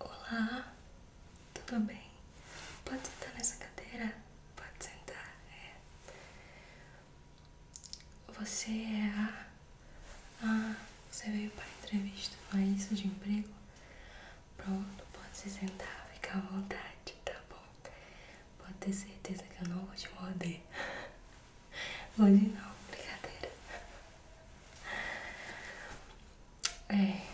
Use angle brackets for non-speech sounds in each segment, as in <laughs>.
Olá, tudo bem? Pode sentar nessa cadeira? Pode sentar, é. Você é a ah, você veio para entrevista, não é isso de emprego? Pronto, pode se sentar, fica à vontade, tá bom? Pode ter certeza que eu não vou te morder. <laughs> Hoje não, brincadeira. É.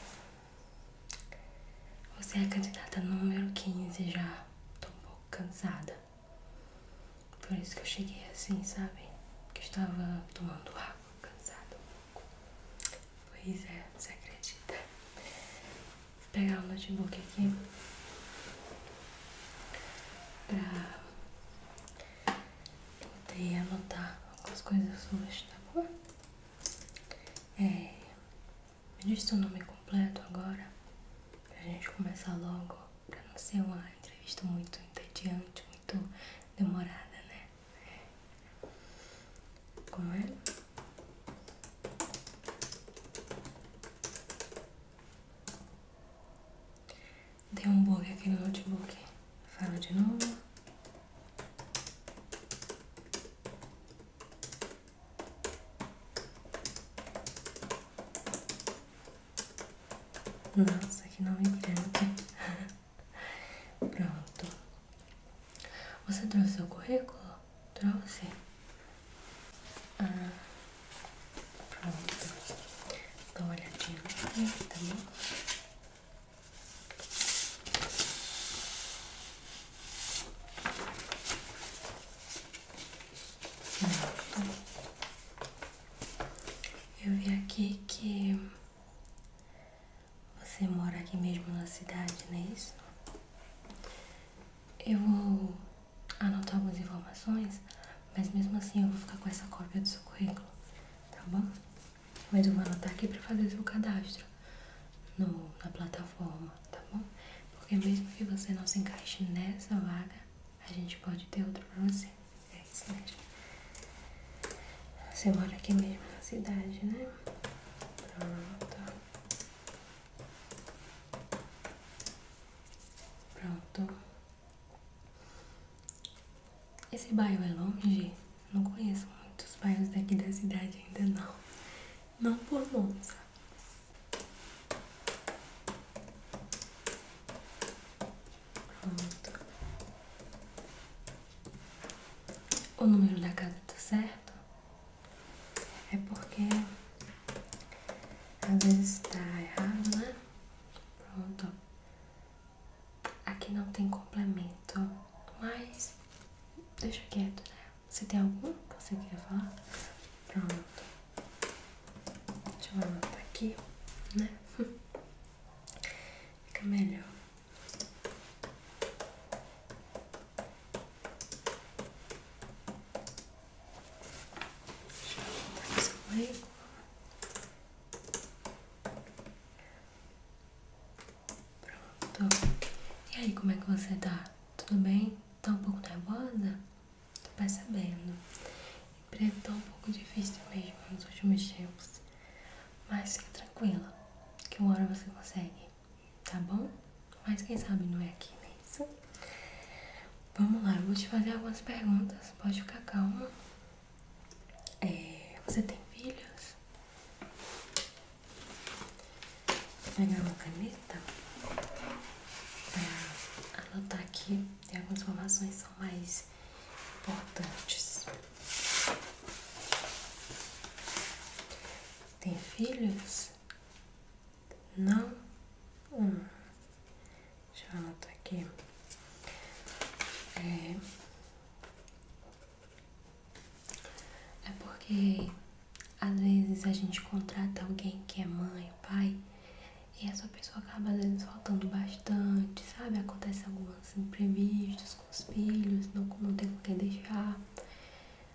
Você é a candidata número 15 já. Tô um pouco cansada. Por isso que eu cheguei assim, sabe? Que estava tomando água, cansado. Pois é, você acredita? Vou pegar o notebook aqui pra poder anotar algumas coisas suas, tá bom? É, me diz seu nome completo agora, pra gente começar logo, pra não ser uma entrevista muito entediante, muito demorada, né? Como é? Deu um bug aqui no notebook. Fala de novo. Nossa, que nome grande. <laughs> Pronto. Você trouxe o currículo? Trouxe? Ah, pronto. Dá uma olhadinha aqui, tá bom? Pronto. Eu vi aqui que você mora aqui mesmo na cidade, não é isso? Eu vou anotar algumas informações, mas mesmo assim eu vou ficar com essa cópia do seu currículo, tá bom? Mas eu vou anotar aqui para fazer seu cadastro na plataforma, tá bom? Porque mesmo que você não se encaixe nessa vaga, a gente pode ter outro pra você. É isso mesmo. Você mora aqui mesmo na cidade, né? Pronto. Pronto. Esse bairro é longe? Não conheço muitos bairros daqui da cidade ainda não. Não por Monza. Pronto. O número da casa tá certo? É porque às vezes tá errado, né? Pronto. Aqui não tem complemento, mas deixa quieto, né? Você tem algum que você quer falar? Pronto. Deixa eu anotar aqui, né? <laughs> Fica melhor. Pronto. E aí, como é que você tá? Tudo bem? Tá um pouco nervosa? Tô percebendo preto tá um pouco difícil mesmo nos últimos tempos. Mas fique tranquila, que uma hora você consegue, tá bom? Mas quem sabe não é aqui, não né? Vamos lá, eu vou te fazer algumas perguntas, pode ficar calma. É, você tem filhos? Vou pegar uma caneta pra anotar aqui. Tem algumas informações que são mais importantes. Tem filhos? Não? Hum. Deixa eu anotar aqui. É, é porque às vezes a gente contrata alguém que é mãe, pai, e essa pessoa acaba às vezes faltando bastante, sabe? Acontece alguns imprevistos com os filhos, não, não tem com quem deixar.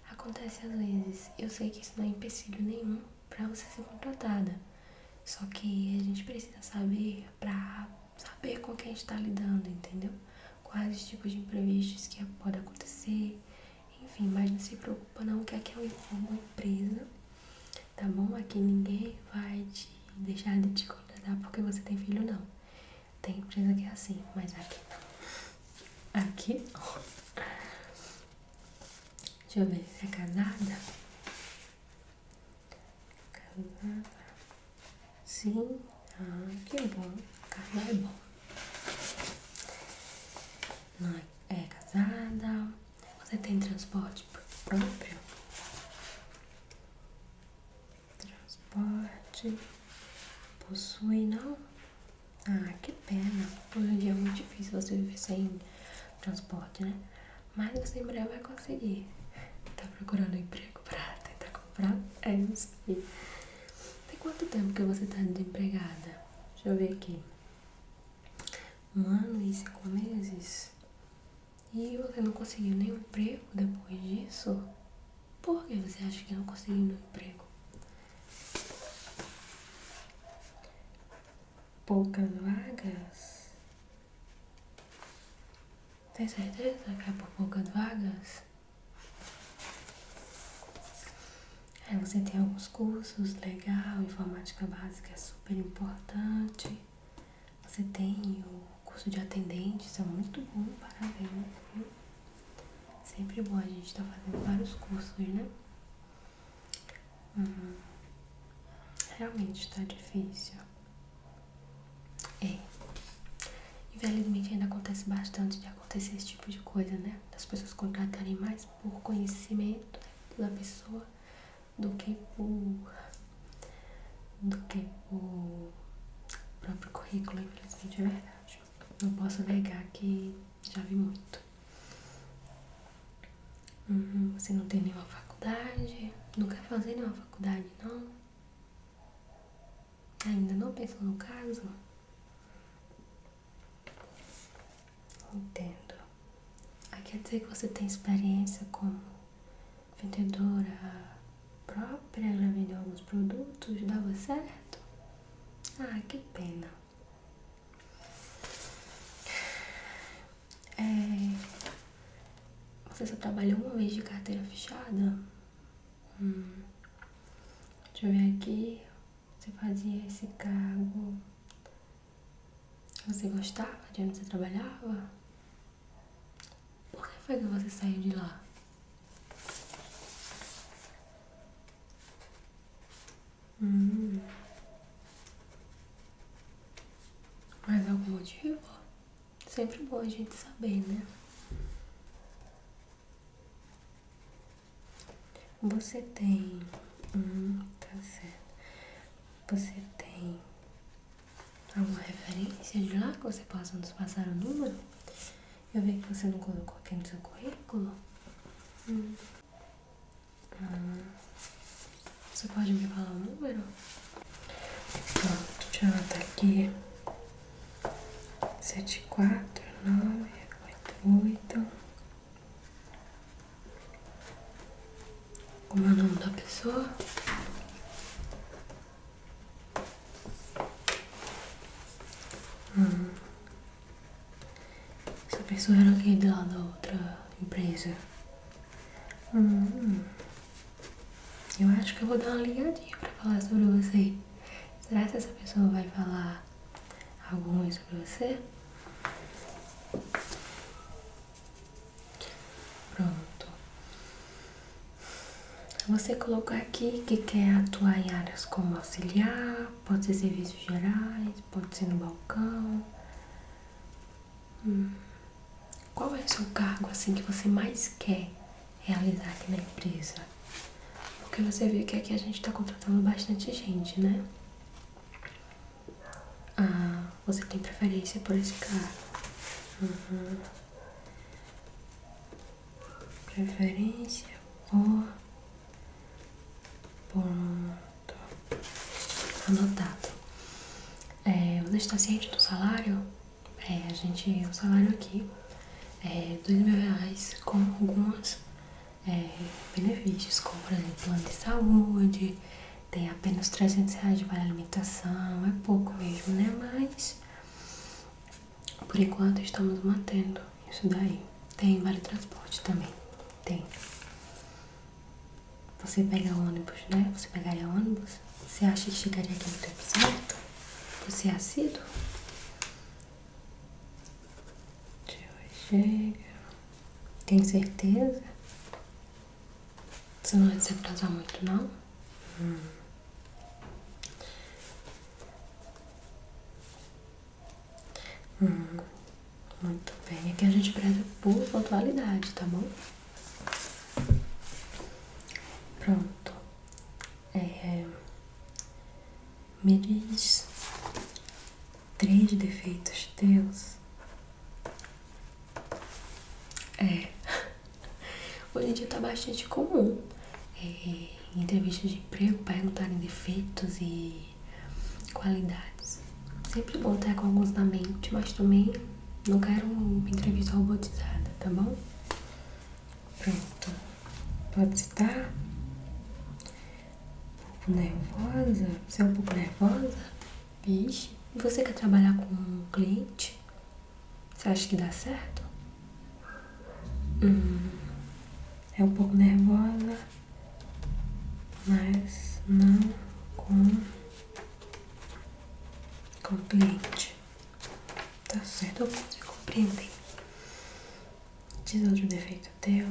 Acontece às vezes. Eu sei que isso não é empecilho nenhum para você ser contratada. Só que a gente precisa saber para saber com quem a gente tá lidando, entendeu? Quais tipos de imprevistos que pode acontecer. Enfim, mas não se preocupa não, que aqui é uma empresa tá bom? Aqui ninguém vai te deixar de te contratar porque você tem filho, não. Tem empresa que é assim, mas aqui não. Aqui, ó. Deixa eu ver, é casada? Casada. Sim. Ah, que bom. Casar é bom. Não é casada. Você tem transporte próprio? Transporte possui, não? Ah, que pena. Hoje em é dia é muito difícil você viver sem transporte, né? Mas você em breve vai conseguir. Tá procurando emprego pra tentar comprar? É, não sei. Tem quanto tempo que você tá desempregada? Deixa eu ver aqui. Um ano e cinco meses? E você não conseguiu nenhum emprego depois disso? Por que você acha que não conseguiu nenhum emprego? Poucas vagas? Tem certeza que é por poucas vagas? Aí é, você tem alguns cursos, legal, informática básica é super importante. Você tem o curso de atendente, isso é muito bom, parabéns, Sempre bom, a gente tá fazendo vários cursos, né? Uhum. realmente está difícil. É. Infelizmente ainda acontece bastante de acontecer esse tipo de coisa, né? Das pessoas contratarem mais por conhecimento né, da pessoa do que por, do que por próprio currículo, infelizmente é verdade. Não posso negar que já vi muito. Uhum, você não tem nenhuma faculdade? Não quer fazer nenhuma faculdade, não? Ainda não pensou no caso? Entendo. Aí quer dizer que você tem experiência como vendedora própria, ela vendeu alguns produtos, dava certo? Ah, que pena. É, você só trabalhou uma vez de carteira fechada? Hum. Deixa eu ver aqui. Você fazia esse cargo. Você gostava de onde você trabalhava? Por que foi que você saiu de lá? Hum. Mas algum motivo? Sempre bom a gente saber, né? Você tem. Hum, tá certo. Você tem alguma referência de lá que você possa nos passar o número? Eu vi que você não colocou aqui no seu currículo. Hum. Ah, você pode me falar o número? Pronto, já tá aqui. 74988 como é o nome da pessoa? Hum. Essa pessoa era de lá da outra empresa. Hum, hum. Eu acho que eu vou dar uma ligadinha pra falar sobre você. Será que essa pessoa vai falar alguma sobre você? Pronto. Você colocou aqui que quer atuar em áreas como auxiliar, pode ser serviços gerais, pode ser no balcão. Hum. Qual é o seu cargo assim que você mais quer realizar aqui na empresa? Porque você viu que aqui a gente está contratando bastante gente, né? Ah, você tem preferência por esse cara? Uhum. Preferência por. Pronto. Anotado. É, você está ciente do salário? É, a gente. O salário aqui é dois mil reais com alguns é, benefícios, como por exemplo de saúde, tem apenas 300 reais de vale alimentação, é pouco mesmo, né? Mas por enquanto estamos mantendo isso daí. Tem vale transporte também, tem. Você pega ônibus, né? Você pegaria ônibus? Você acha que chegaria aqui no tempo certo? Você é assíduo? Chega. Tem certeza? Você não vai se atrasar muito, não? Hum. Hum. Muito bem, aqui a gente preza por atualidade tá bom? Pronto. É... Me diz três defeitos teus é. <laughs> Hoje em dia tá bastante comum é, entrevistas de emprego perguntarem defeitos e qualidades. Sempre bom ter com alguns na mente, mas também não quero uma entrevista robotizada, tá bom? Pronto. Pode citar? Um pouco nervosa? Você é um pouco nervosa? Vixe. Você quer trabalhar com um cliente? Você acha que dá certo? Hum, é um pouco nervosa, mas não com, compreende. o cliente. Tá certo, você compreendem. Diz outro defeito teu.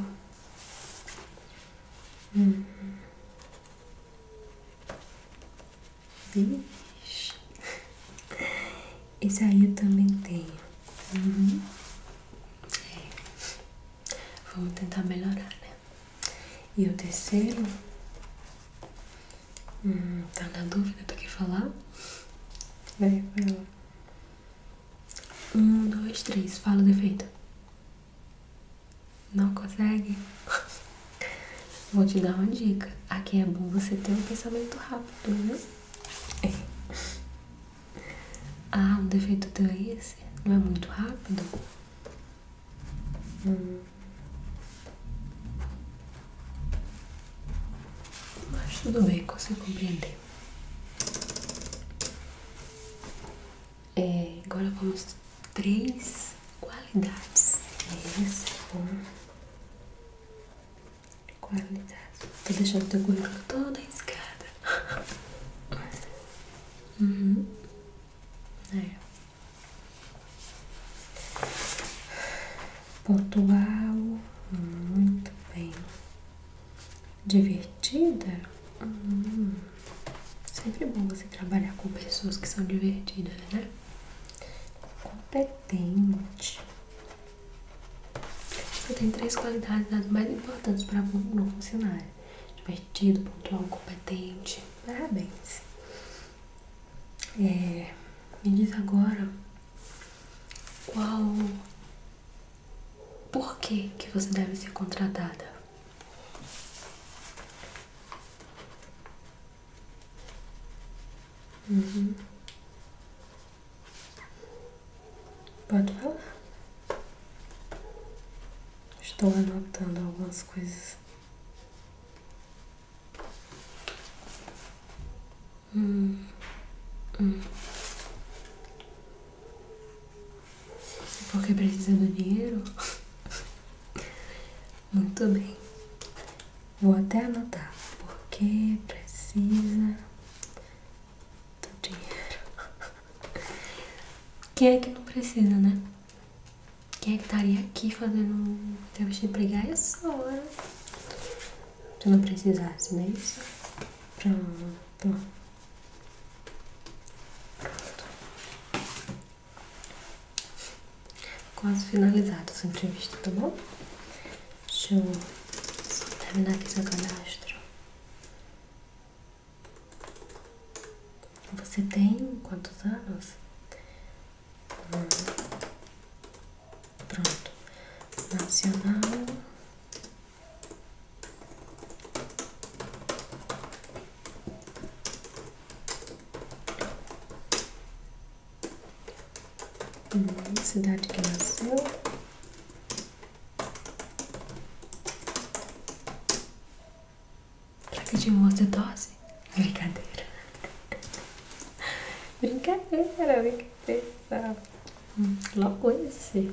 Hum. Vixe. Esse aí eu também tenho. Uhum. É. Vamos tentar melhorar, né? E o terceiro? Hum, tá na dúvida do que falar? Vai, vai Um, dois, três. Fala o defeito. Não consegue? Vou te dar uma dica. Aqui é bom você ter um pensamento rápido, viu? ah, o um defeito teu é esse? Não é muito rápido? Hum. Mas tudo bem, consigo compreender. É, agora vamos três qualidades. isso é bom. Qualidade. Tô deixando teu currículo toda escada. <laughs> Uhum. É. Pontual, muito bem. Divertida? Hum. Sempre bom você trabalhar com pessoas que são divertidas, né? competente. Você tem três qualidades das mais importantes para um novo funcionário: divertido, pontual, competente. Parabéns. É, me diz agora qual. Por que, que você deve ser contratada? Uhum. Pode falar. Estou anotando algumas coisas. Hum. hum. Porque precisa do dinheiro? <laughs> Muito bem. Vou até anotar porque precisa do dinheiro. <laughs> Quem é que não precisa, né? Quem é que estaria aqui fazendo entrevista de pregar é só, né? Se não precisasse, não né? isso? Pronto. Pronto. Quase finalizado essa entrevista, tá bom? Deixa eu só terminar aqui seu cadastro. Você tem quantos anos? Pronto. Nacional. Hum, cidade que nasceu. Placa de humor de dose? Brincadeira. <laughs> Brincadeira, brincadeira. Hum, logo esse.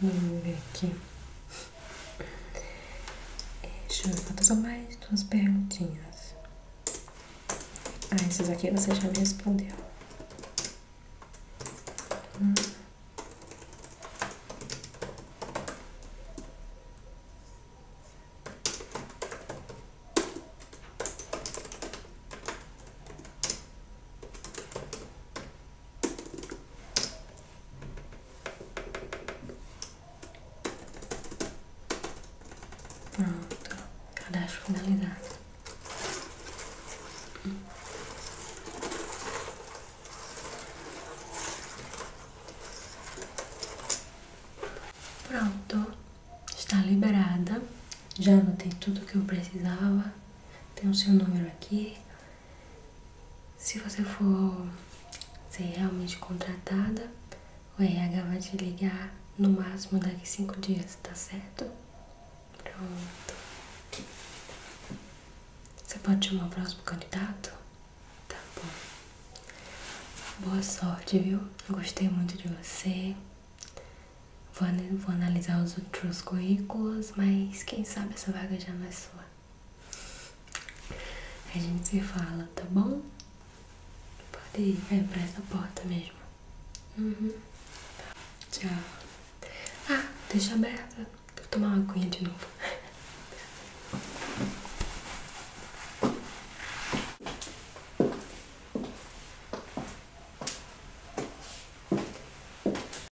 Vamos ver aqui. É, deixa eu fazer só mais duas perguntinhas. Ah, esses aqui você já me respondeu. Pronto, cadastro finalizado. Pronto, está liberada. Já anotei tudo o que eu precisava. Tem o seu número aqui, se você for ser realmente contratada, o RH vai te ligar no máximo daqui cinco dias, tá certo? Pronto. Você pode chamar o próximo candidato? Tá bom. Boa sorte, viu? Gostei muito de você. Vou, vou analisar os outros currículos, mas quem sabe essa vaga já não é pessoa. A gente se fala, tá bom? Pode ir, é, para essa porta mesmo. Tá. Tchau. Ah, deixa aberta. Vou tomar uma aguinha de novo.